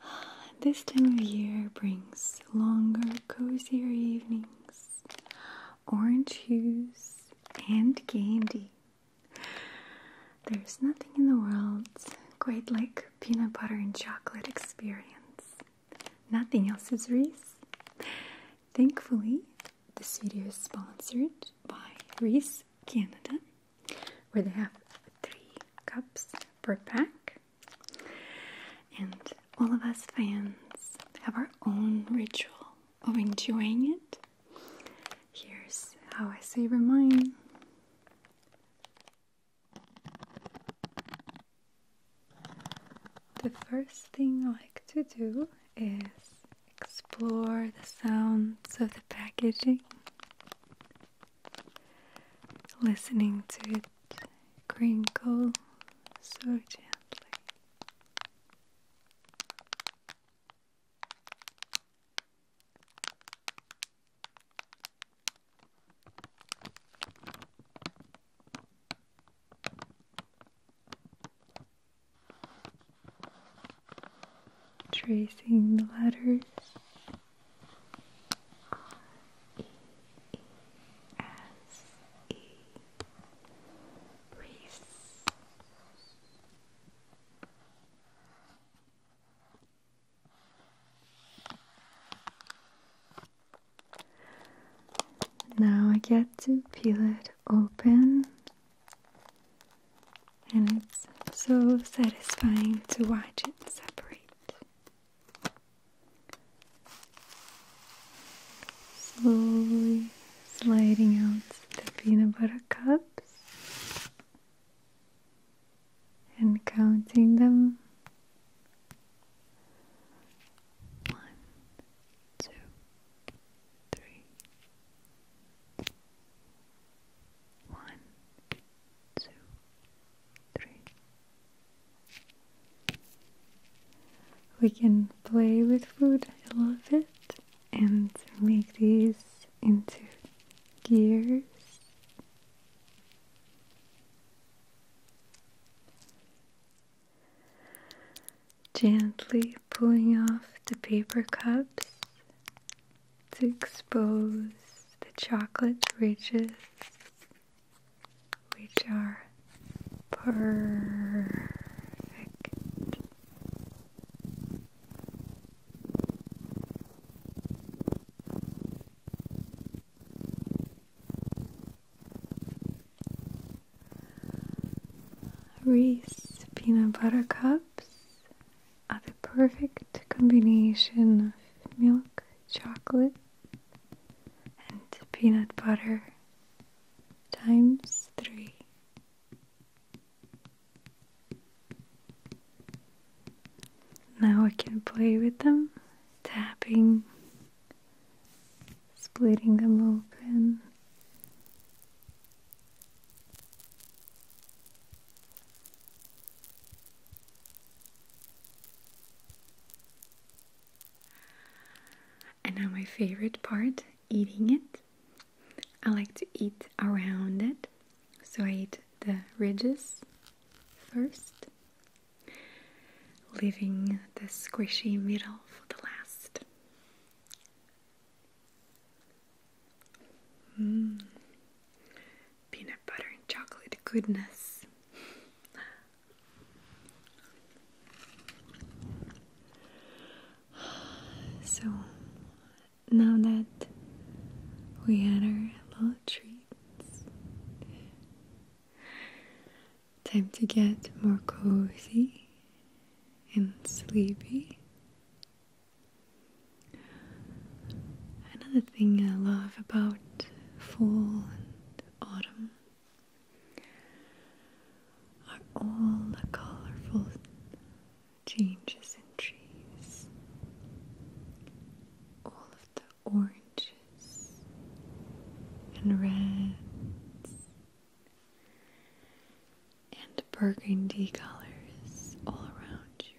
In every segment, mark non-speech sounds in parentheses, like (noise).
(sighs) This time of year brings longer, cozier evenings, orange hues, and candy. There's nothing in the world quite like peanut butter and chocolate experience. Nothing else is Reese. Thankfully, this video is sponsored by Reese Canada where they have three cups per pack. And all of us fans have our own ritual of enjoying it. Here's how I savor mine. The first thing I like to do is explore the sounds of the packaging listening to it crinkle so gently. Tracing the letters R-E-E-S-E Reese now I get to peel it open and it's so satisfying to watch it separate. Slowly sliding out the peanut butter cups and counting them. One, two, three, one, two, three. We can play with food I love it, and make these into gears. Gently pulling off the paper cups to expose the chocolate ridges which are perfect. Reese peanut butter cups are the perfect combination of milk, chocolate, and peanut butter times three. Now I can play with them, tapping, splitting them open, and now my favorite part, eating it. I like to eat around it. So I eat the ridges first, leaving the squishy middle for the last. Mm. Peanut butter and chocolate goodness. (sighs) So now that we had our little treats, time to get more cozy and sleepy. Another thing I love about fall and autumn are all the colorful changes in trees, all of the oranges and reds and burgundy colors all around you.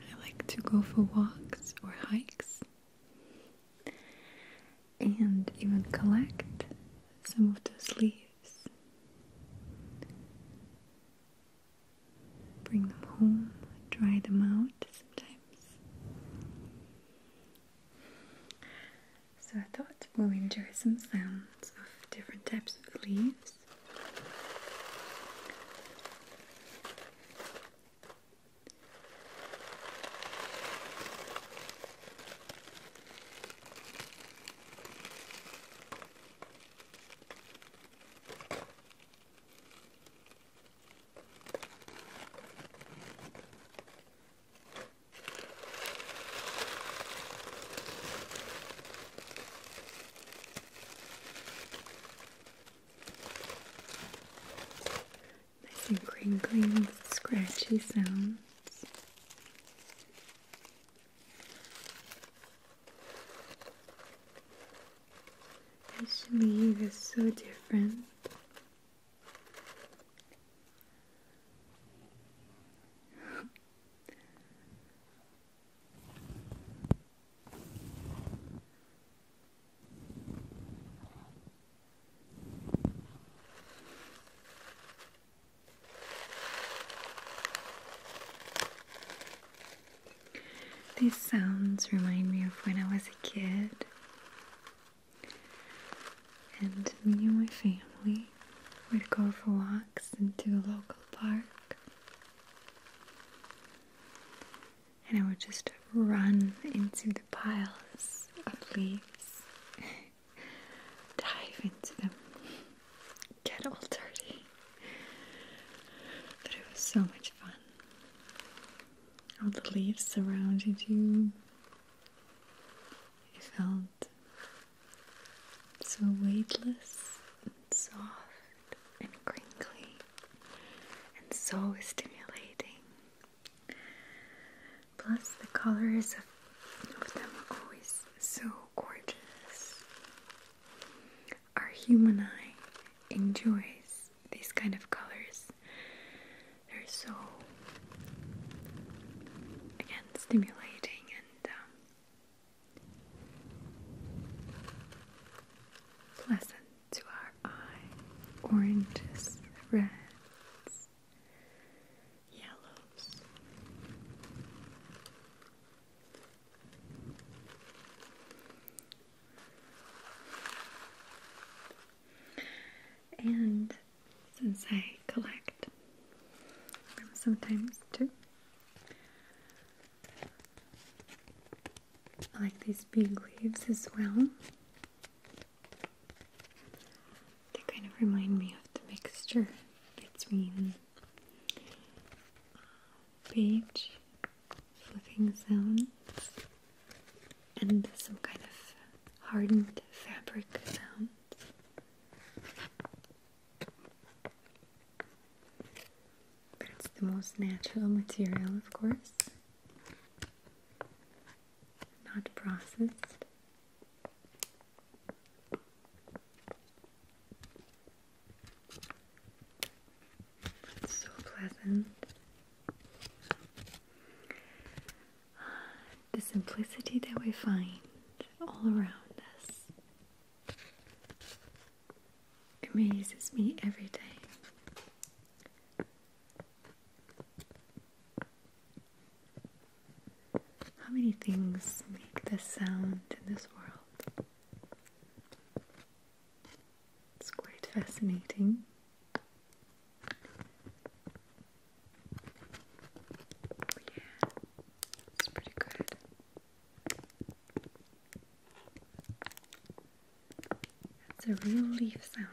I like to go for walks or hikes and even collect some of those leaves. Bring them home, dry them out sometimes. So I thought we'll enjoy some sounds of different types of leaves. Nice and crinkling, scratchy sounds. This shimmy is so different. These sounds remind me of when I was a kid and me and my family would go for walks into a local park. And I would just run into the piles of leaves, (laughs) dive into them, get all dirty. But it was so much fun. All the leaves surrounded you. You felt so weightless and soft and crinkly and so stimulating. Plus, the colors of, of them are always so gorgeous. Our human eye enjoys these kind of colors they're so again stimulating and um, pleasant to our eye. Oranges, reds, yellows. And since I collect sometimes too. I like these big leaves as well. They kind of remind me of the mixture between page uh, flipping sounds and some kind of hardened fabric sound. But it's the most natural material, of course, not processed. so pleasant the simplicity that we find all around us amazes me every day. How many things make this sound in this world? It's quite fascinating. Yeah, it's pretty good. That's a real leaf sound.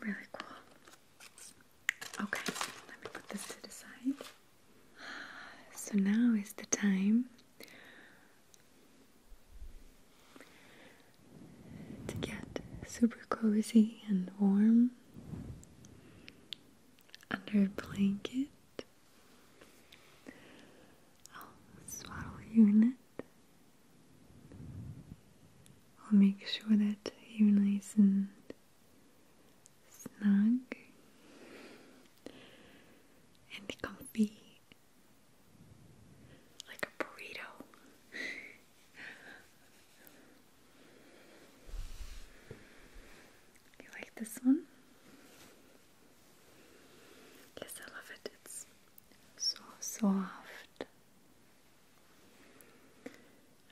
Really cool. Okay, let me put this to the side. So now is the time to get super cozy and warm under a blanket, I'll swaddle your net. I'll make sure that you're nice and snug and comfy like a burrito. (laughs) You like this one? Yes, I love it. It's so soft.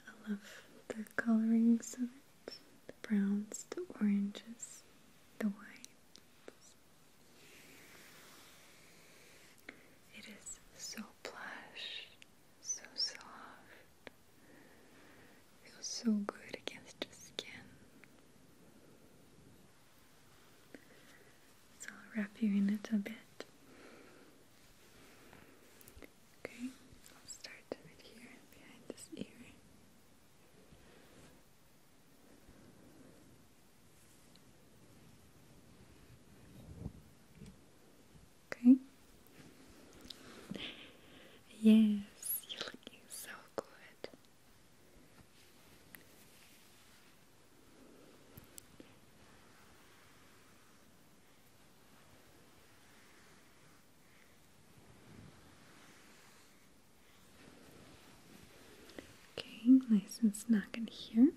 I love the colorings of it the browns, the oranges, the whites. It is so plush so soft, feels so good against your skin. So I'll wrap you in it a bit. Okay, I'll start with here behind this ear. Okay? Yes, you're looking so good. Okay, nice and snug in here.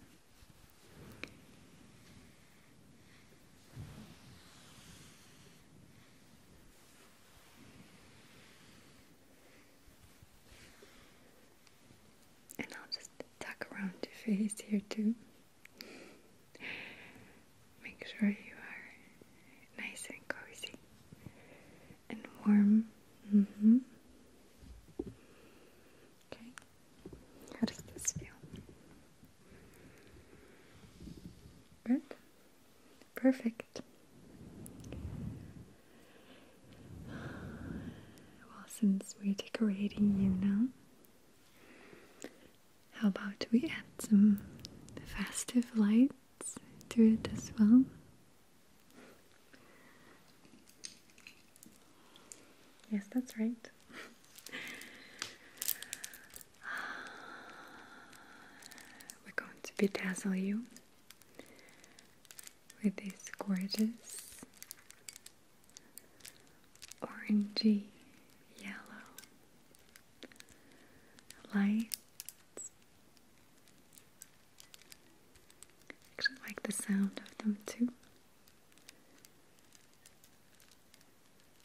And I'll just tuck around your face here too. Make sure you are nice and cozy and warm. Mm-hmm. Okay, how does this feel? Good, perfect. Well, since we're decorating you now, how about we add some festive lights to it as well? Yes, that's right. (sighs) We're going to bedazzle you with these gorgeous orangey yellow lights. actually like the sound of them too.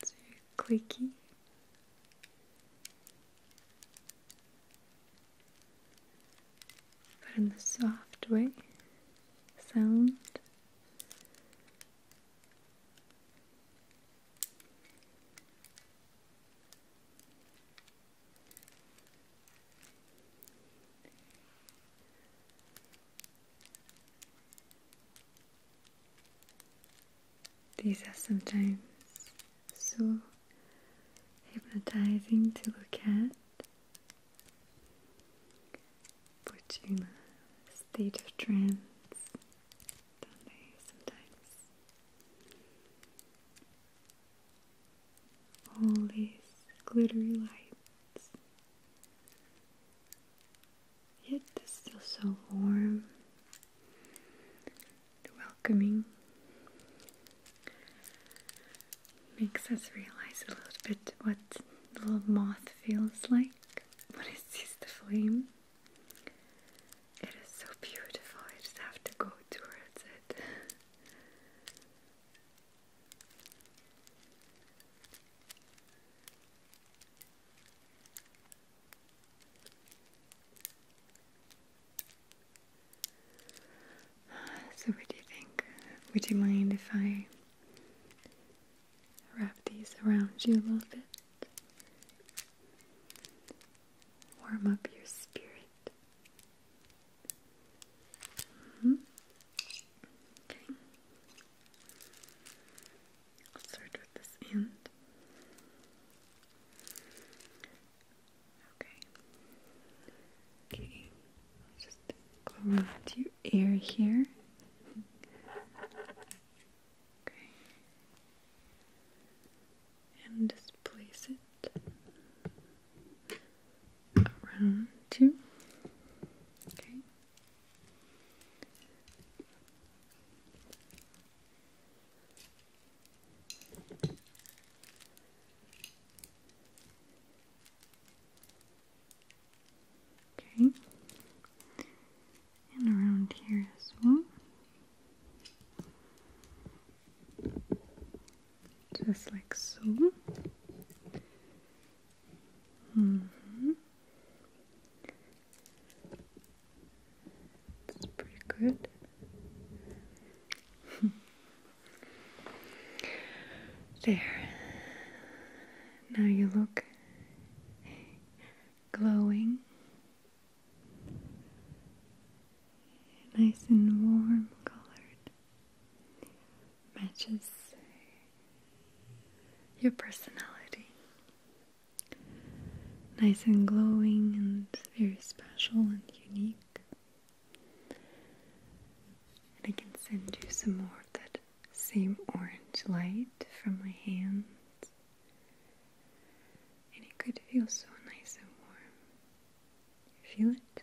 It's clicky. But in the soft way, sound. These are sometimes so hypnotizing to look at, but in a state of trance, do they, sometimes? All these glittery light it's still so warm welcoming. Makes us realize a little bit what the moth feels like when it sees the flame. It is so beautiful, I just have to go towards it. Uh, so, what do you think? Would you mind if I wrap these around you a little bit? Warm up your spirit. -hmm. Okay. Let's start with this end. Okay. Okay. Just go around your ear here. Okay. And just place it around you. Okay. Okay, and around here as well. Just like so. Mm hmm That's pretty good. (laughs) there. Now you look glowing. Nice and warm colored. Matches your personality. Nice and glowing and very special and unique. And I can send you some more of that same orange light from my hands. And it could feel so nice and warm. You feel it?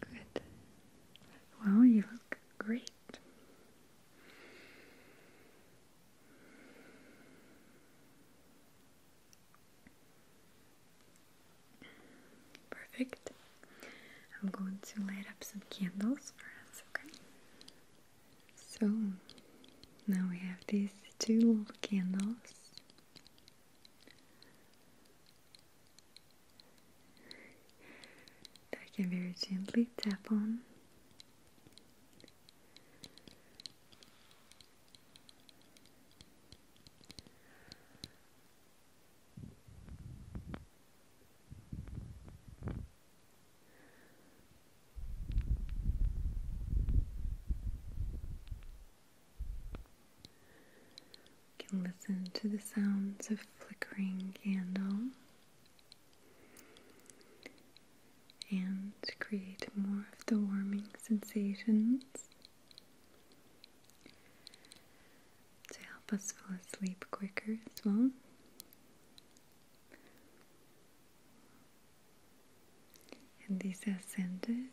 Good. Well, you look great. Perfect. I'm going to light up some candles for us, okay? So now we have these two candles. That I can very gently tap on. You can listen to the sounds of flickering candle and create more of the warming sensations to help us fall asleep quicker as well. And these are scented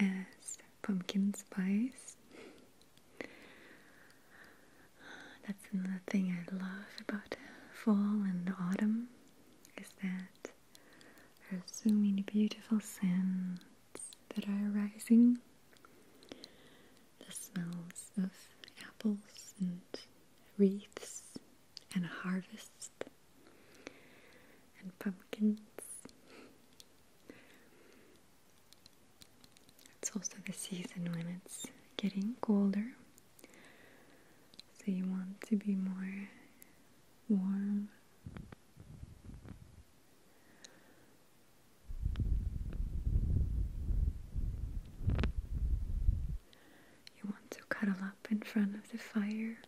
as pumpkin spice. That's another thing I love about fall and autumn is that there's so many beautiful scents that are arising. The smells of apples and wreaths and harvests and pumpkins. It's also the season when it's getting colder, so you want to be more warm you want to cuddle up in front of the fire.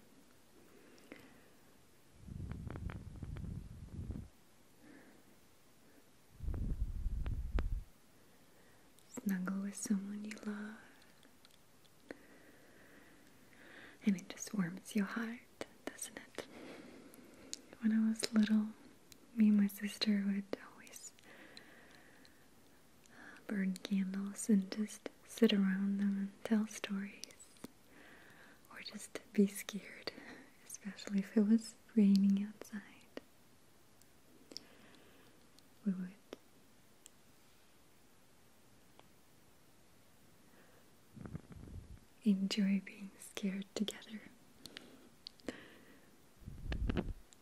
Snuggle with someone you love, and it just warms your heart doesn't it? When I was little, me and my sister would always uh, burn candles and just sit around them and tell stories or just be scared, especially if it was raining outside. We would enjoy being scared together.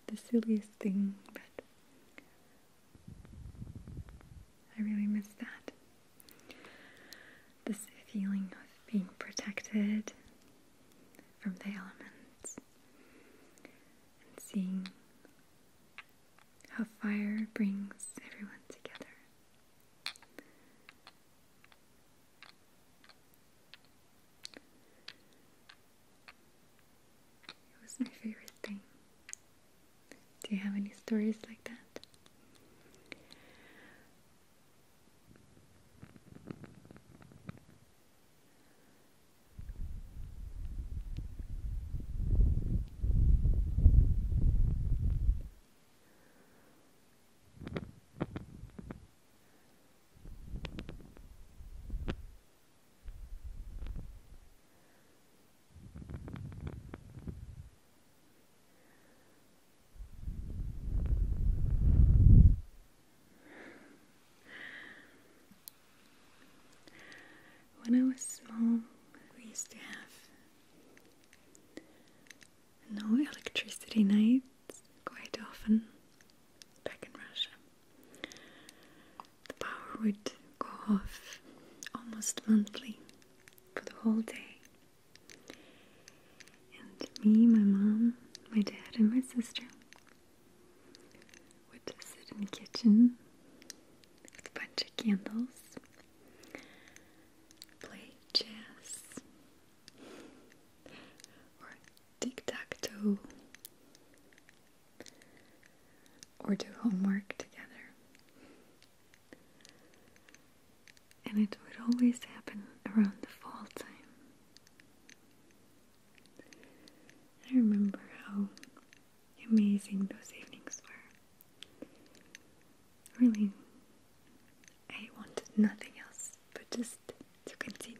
The silliest thing, but I really miss that. This feeling of being protected from the elements and seeing how fire brings everyone together. It was my favorite thing. Do you have any stories like that? When I was small, we used to have no electricity nights quite often back in Russia. The power would go off almost monthly for the whole day. And me, my mom, my dad, and my sister would sit in the kitchen with a bunch of candles, play chess, or tic or do homework together. And it would always happen around the fall time. I remember how amazing those evenings were. Really I wanted nothing else but just to continue.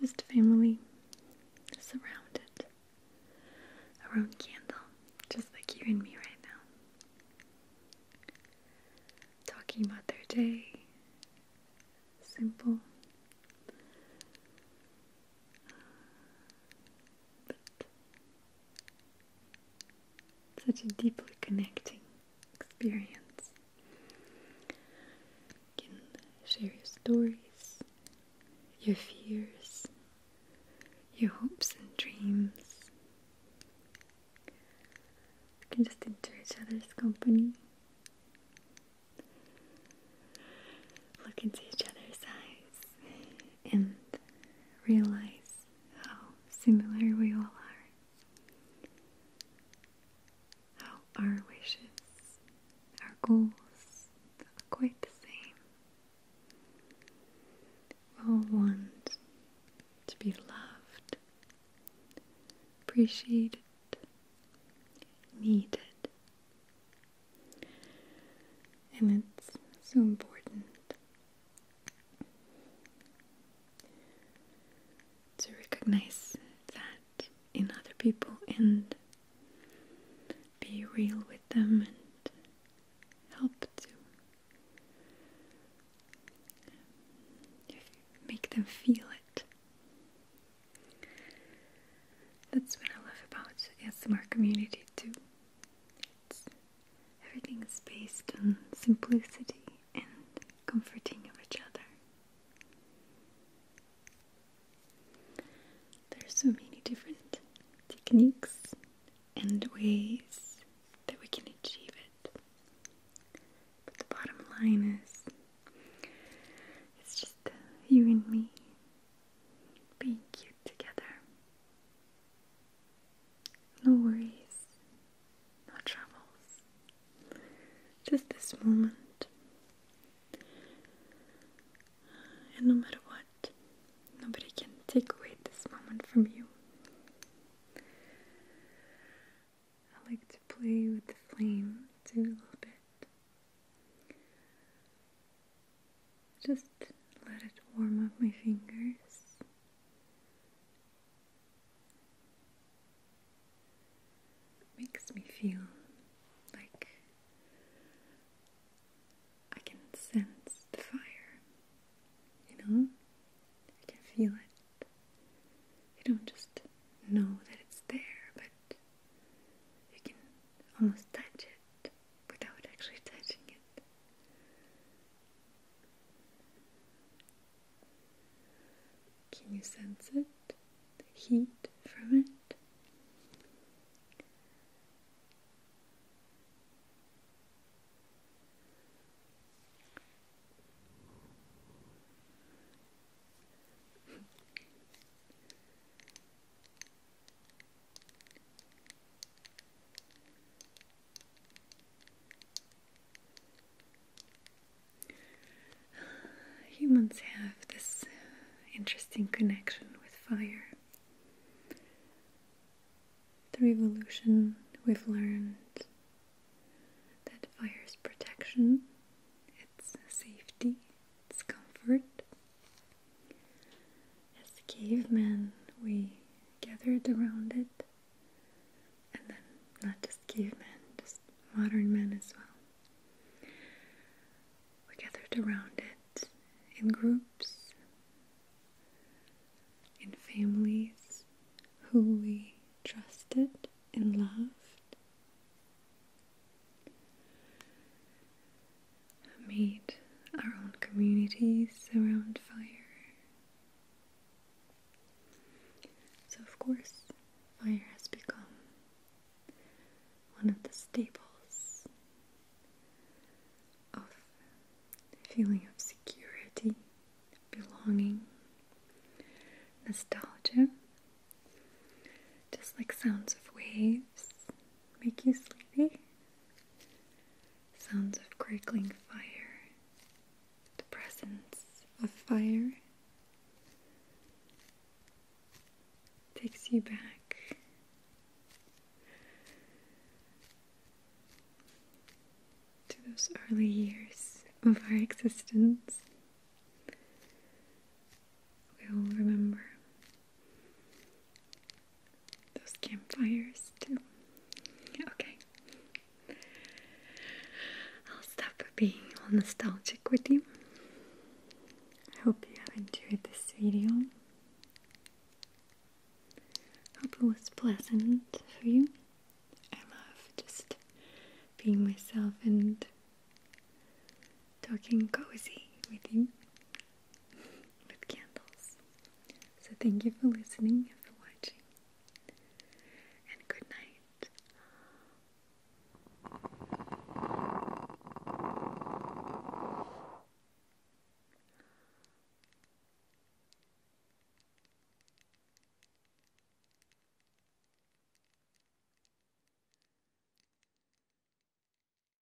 Just family surrounded around candle, just like you and me right now. Talking about their day, simple. But such a deeply connecting experience. can share your stories, your fears, your hopes and dreams. You can just enjoy each other's company. Look into each other's eyes and realize how similar we all are. How our wishes, our goals are quite the same. all want to be loved, appreciated, needed, and it's so important to recognize that in other people and be real with them and help to make them feel it. That's what I love about ASMR community too. Everything is based on simplicity and comforting of each other. There are so many different techniques and ways that we can achieve it. But the bottom line is it's just you and me being cute together. No worries, no troubles. Just this moment. And no matter what, nobody can take away this moment from you. I like to play with the flame do a little bit. Just let it warm up my fingers. makes me feel like I can sense the fire, you know? I can feel it. You don't just know that it's there, but you can almost touch it without actually touching it. Can you sense it? The heat from it? Humans have this interesting connection with fire. Through evolution, we've learned that fire is protection, it's safety, it's comfort. As cavemen, we gathered around it, and then not just cavemen, just modern men as well. We gathered around it in groups, in families who we trusted and loved made our own communities around fire. So, of course, fire has become one of the staples of feeling of security, belonging, nostalgia, just like sounds of waves make you sleepy? Sounds of crackling fire, the presence of fire takes you back. To those early years of our existence, we all remember those campfires too. Okay. I'll stop being nostalgic with you. I hope you have enjoyed this video. Hope it was pleasant for you. I love just being myself and talking cozy with you with candles. So thank you for listening and for watching. And good night.